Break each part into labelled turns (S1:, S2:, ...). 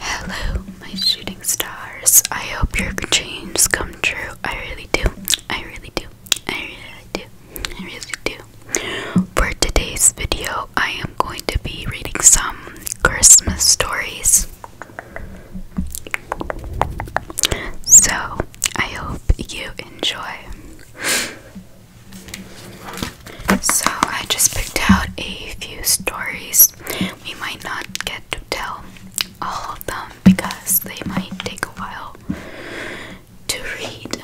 S1: Hello, my shooting stars. I hope your dreams come true. I really do. I really do. I really do. I really do. For today's video, I am going to be reading some Christmas stories. So, I hope you enjoy. So, I just picked out a few stories we might not get to tell all of them because they might take a while to read.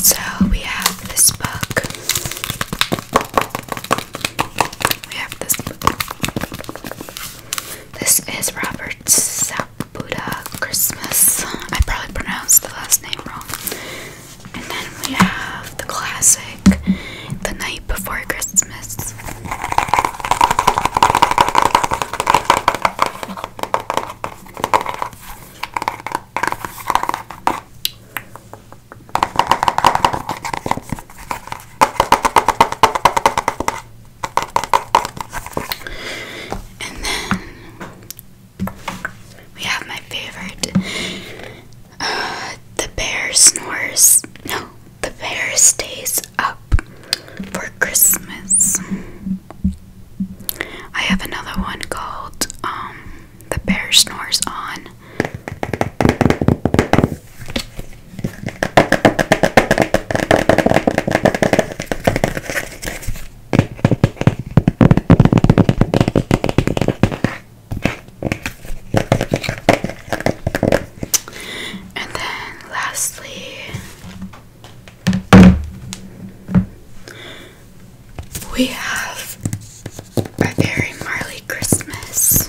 S1: So we have this book. We have this book. This is Robert Sapuda Christmas. I probably pronounced the last name wrong. And then we have the classic The Night Before Christmas. And then we have my favorite. Uh, the bear snores. No, the bear stays up for Christmas. I have another one called um, The Bear Snores On. And then lastly, we have a very Marley Christmas.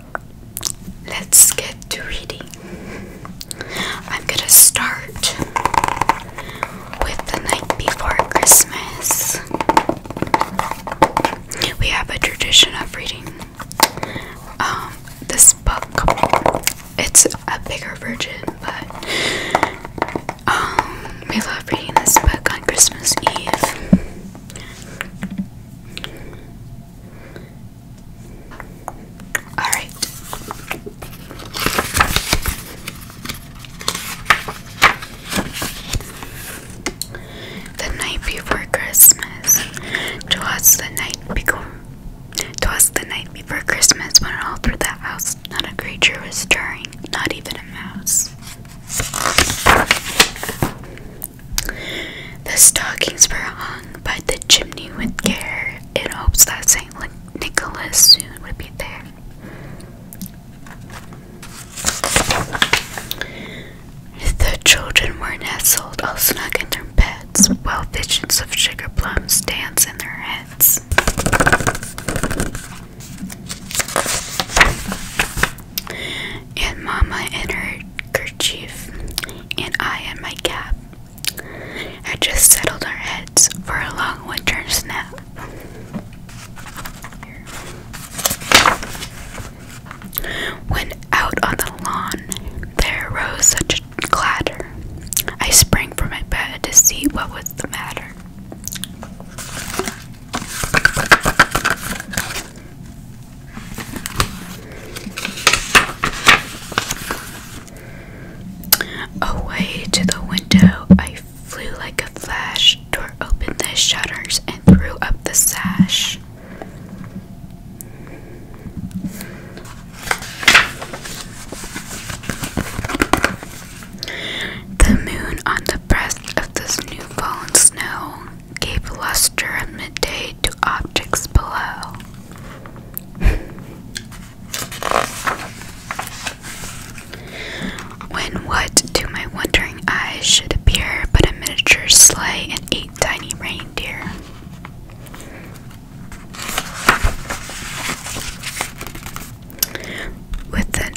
S1: Let's get to reading. I'm gonna start with the night before Christmas. We have a tradition of reading um, this book. It's a bigger version, but um, we love reading this book on Christmas Eve. All right. The night before Christmas. Twas the night before. Twas the night before Christmas when all through that house not a creature was stirring, not even a mouse. The stockings were hung by the chimney with care, in hopes that St. Nicholas soon would be there. The children were nestled all snug in their beds, while visions of sugar plums danced in their heads. And Mama entered handkerchief, and I and my cap. Had just settled our heads for a long winter's nap. When out on the lawn there arose such a clatter, I sprang from my bed to see what was the matter. Away to the window, I flew like a flash, tore open the shutters, and threw up the sash. The moon on the breast of this new fallen snow gave luster at midday to objects below. when what to my wondering eyes should appear but a miniature sleigh and eight tiny reindeer. With an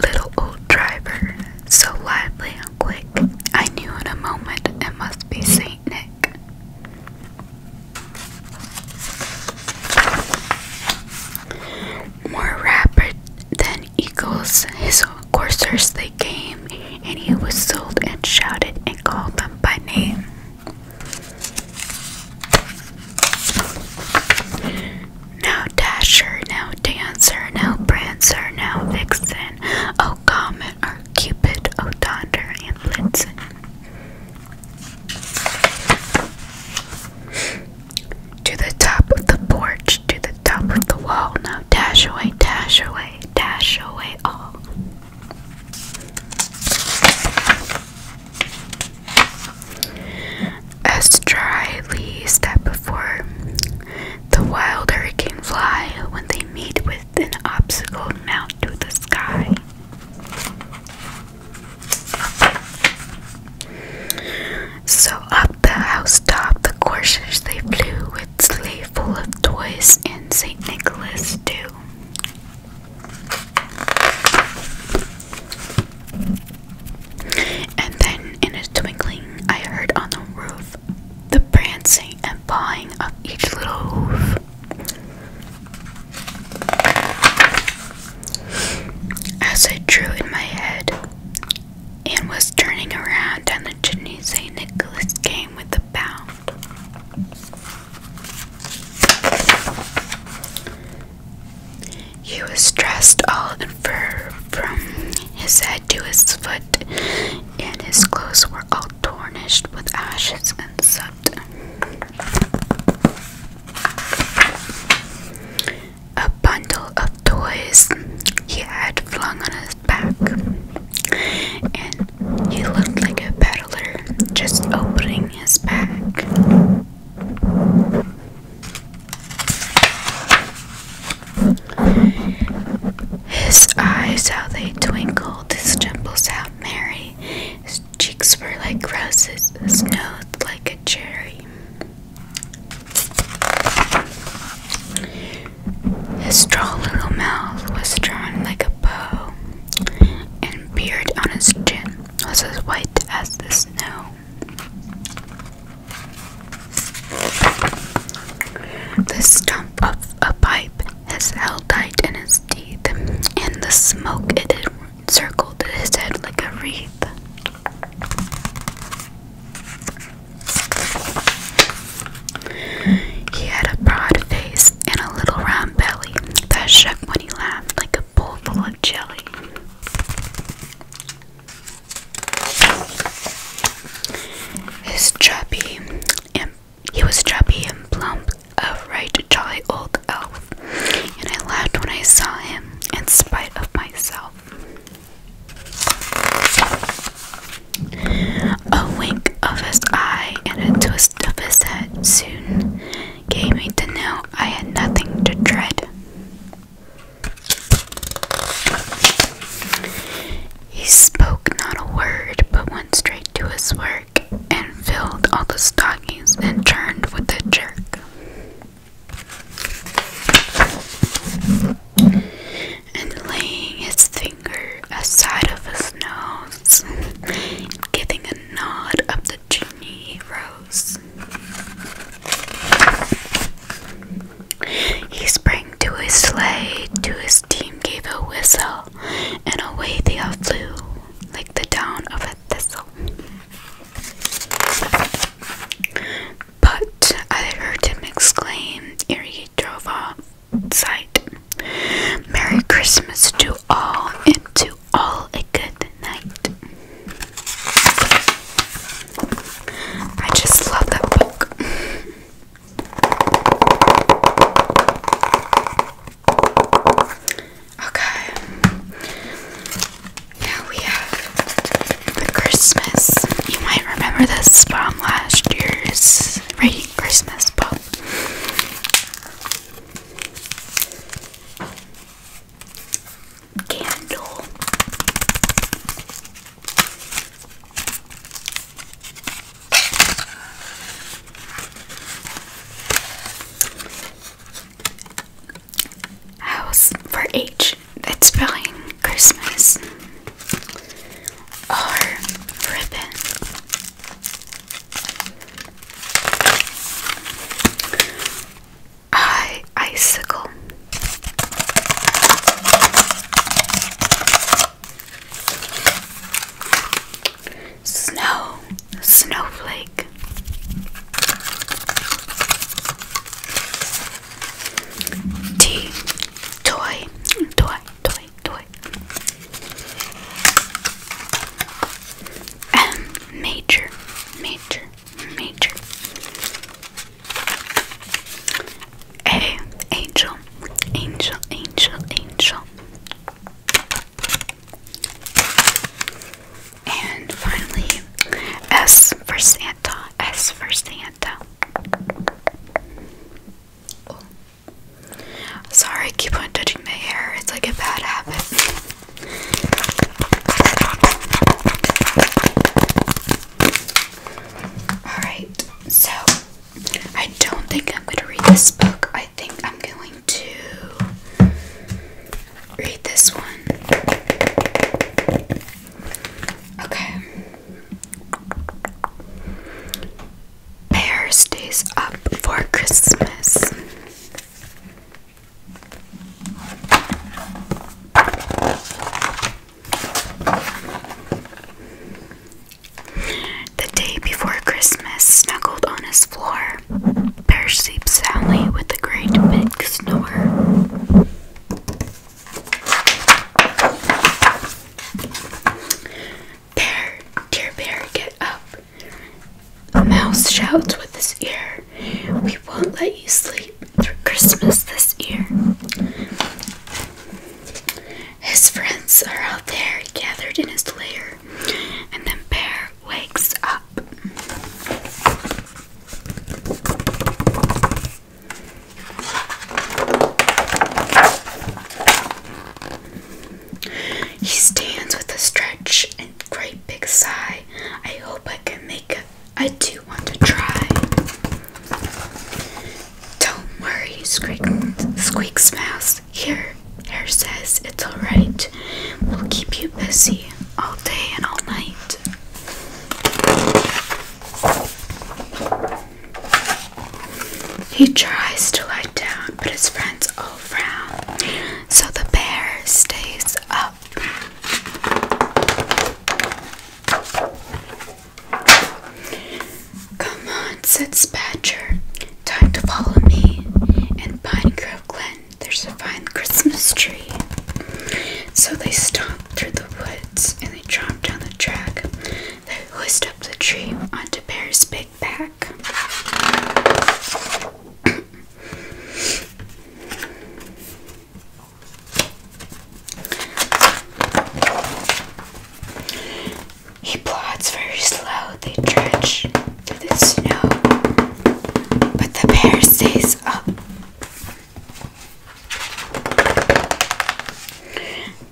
S1: little old driver, so lively and quick, I knew in a moment it must be Saint Nick. More rapid than eagles, his coursers they came, and he whistled and shouted and called them by name. Now Dasher, now Dancer, now Prancer, now Vixen, oh Comet, oh Cupid, oh Donder, and Blitzen. To the top of the porch, to the top of the wall, now dash away, dash away, dash away all. A strily step before the wild hurricane fly when they meet with an obstacle mount to the sky. So up the house top the coursers they flew with sleigh full of toys and St. Nicholas too. And then, in a twinkling, I heard on the roof the prancing and pawing of each little hoof. As I drew in my head and was turning around and the chimney, St. Nicholas came with a bound. He was dressed all in fur from his head to his foot, and his clothes were all tarnished with ashes and soot. A bundle of toys he had flung on his back, and he looked like a peddler just opening his bag. His eyes, how they twinkled, his dimples, how merry, his cheeks were like roses, his nose like a cherry. His straw little mouth was drawn like a bow, and beard on his chin was as white as the snow. The stump of a pipe has held tight in his teeth, and the smoke it encircled his head like a wreath. He had a broad face and a little round belly that shook when he laughed like a bowl full of jelly he was chubby and plump, a right jolly old elf, and I laughed when I saw him, in spite of myself. A wink of his eye and a twist of his head soon gave me to know I had nothing to dread. He spoke not a word, but went straight to his work, and filled all the stockings, and turned with a jerk. And laying his finger aside of his nose, giving a nod of genie rose. He sprang to his sleigh, to his team gave a whistle, and away they flew like the down of a thistle. But I heard him exclaim ere he drove off sight Merry Christmas to all and to all a good night. I just love that book. okay. Now we have the Christmas. You might remember this from last year's reading Christmas book candle. House for H. That's spelling Christmas. R ribbon. I icicle. Snow, snowflake. Tea, toy, toy, toy, toy. And major, major major. Hey, angel, angel, angel, angel. And finally, S for Santa, S for Santa. Sorry, I keep on touching my hair. It's like a bad habit. Alright, so I don't think I'm going to read this book. I think I'm going to read this one. Okay. Bear stays up for Christmas. The day before Christmas, snuggled on his floor, Bear sleeps soundly with the great big snore. Bear, dear bear, get up. A mouse shouts with his ear, We won't let you sleep through Christmas this year. His friends are out there gathered in his lair, and then Bear wakes up. He stands with a stretch and great big sigh. I hope I can make it. I do want to try. Don't worry, squeaks mouse. Here, here says it's alright. We'll keep you busy all day and all night. He tries to lie down, but his friend so the bear stays up. Come on, said Badger. Time to follow me. And Pinecroft Glen, there's a fine Christmas tree. So they stomped through the woods and they chomped down the track. They hoist up the tree onto Bear's big back. He plods very slow, they trudge through the snow, but the bear stays up.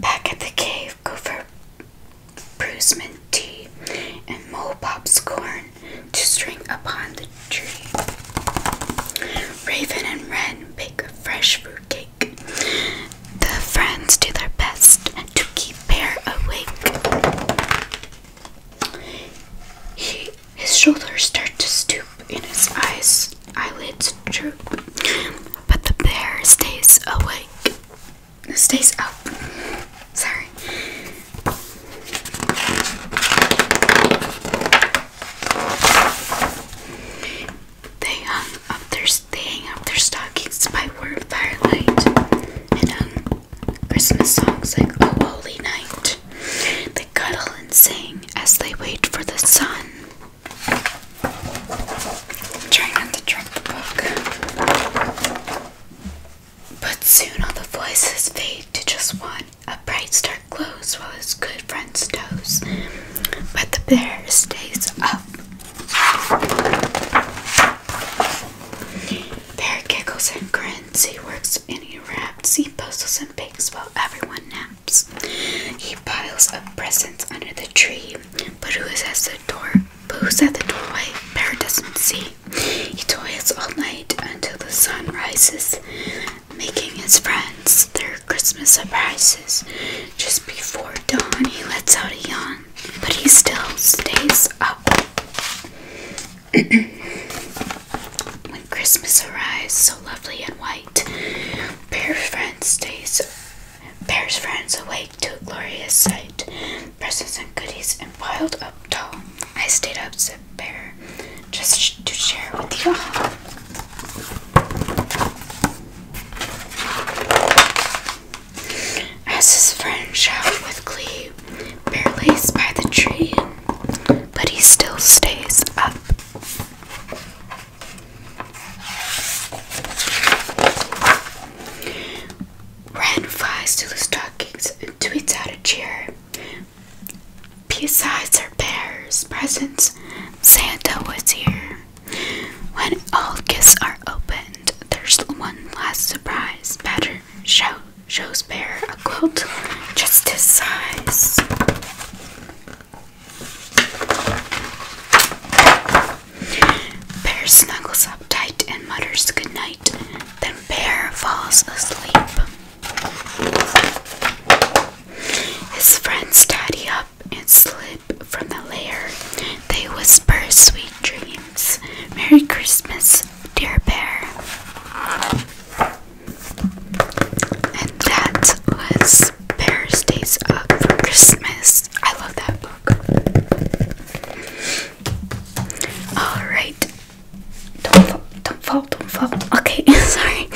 S1: Back at the cave, Gopher bruised tea, and mole popcorn to string upon the tree. Raven and Wren bake a fresh fruit cake. The friends do their best to keep Bear awake. his shoulders start to stoop, and his eyes, eyelids droop, but the bear stays awake stays up. They hang up their stockings by word firelight and hung um, Christmas songs like Oh Holy Night. They cuddle and sing as they wait for the sun. Try not to drop the book. But soon all the voices fade to just one, a bright star glows while his good friends doze. But the bear stays up. Bear giggles and grins, he works and he raps, he puzzles and bakes while everyone naps. He piles up presents under the tree, but who is at the door Boo's at the doorway. Bear doesn't see. He toils all night until the sun rises, making his friends their Christmas surprises. Just before dawn, he lets out a yawn, but he still stays up. when Christmas arrives, so lovely and white, Bear's friend stays Bear's friends awake to a glorious sight, presents and goodies, and piled up tall. I stayed up, said Bear, just to share with you all. As his friend shouted with glee, Bear lays by the tree, but he still stays up ran fast to the stockings and tweets out a cheer. Besides our bear's presents, Santa was here. When all gifts are opened, there's one last surprise. Better show shows bear a quilt just his size. Bear snuggles up tight and mutters good night. Then Bear falls asleep. His friends tidy up and slip from the lair. They whisper sweet dreams. Merry Christmas, dear Bear. And that was Bear Stays Up for Christmas. I love that book. Alright. Don't fall, don't fall, don't fall. Okay, sorry.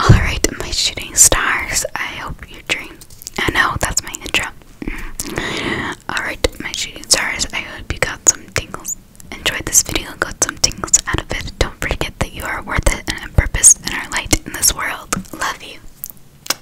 S1: Alright, my shooting stars. I hope you dream. I know, that's my intro. Mm. Alright, my shooting stars. I hope you got some tingles. Enjoyed this video, got some tingles out of it. Don't forget that you are worth it and a purpose and are light in this world. Love you.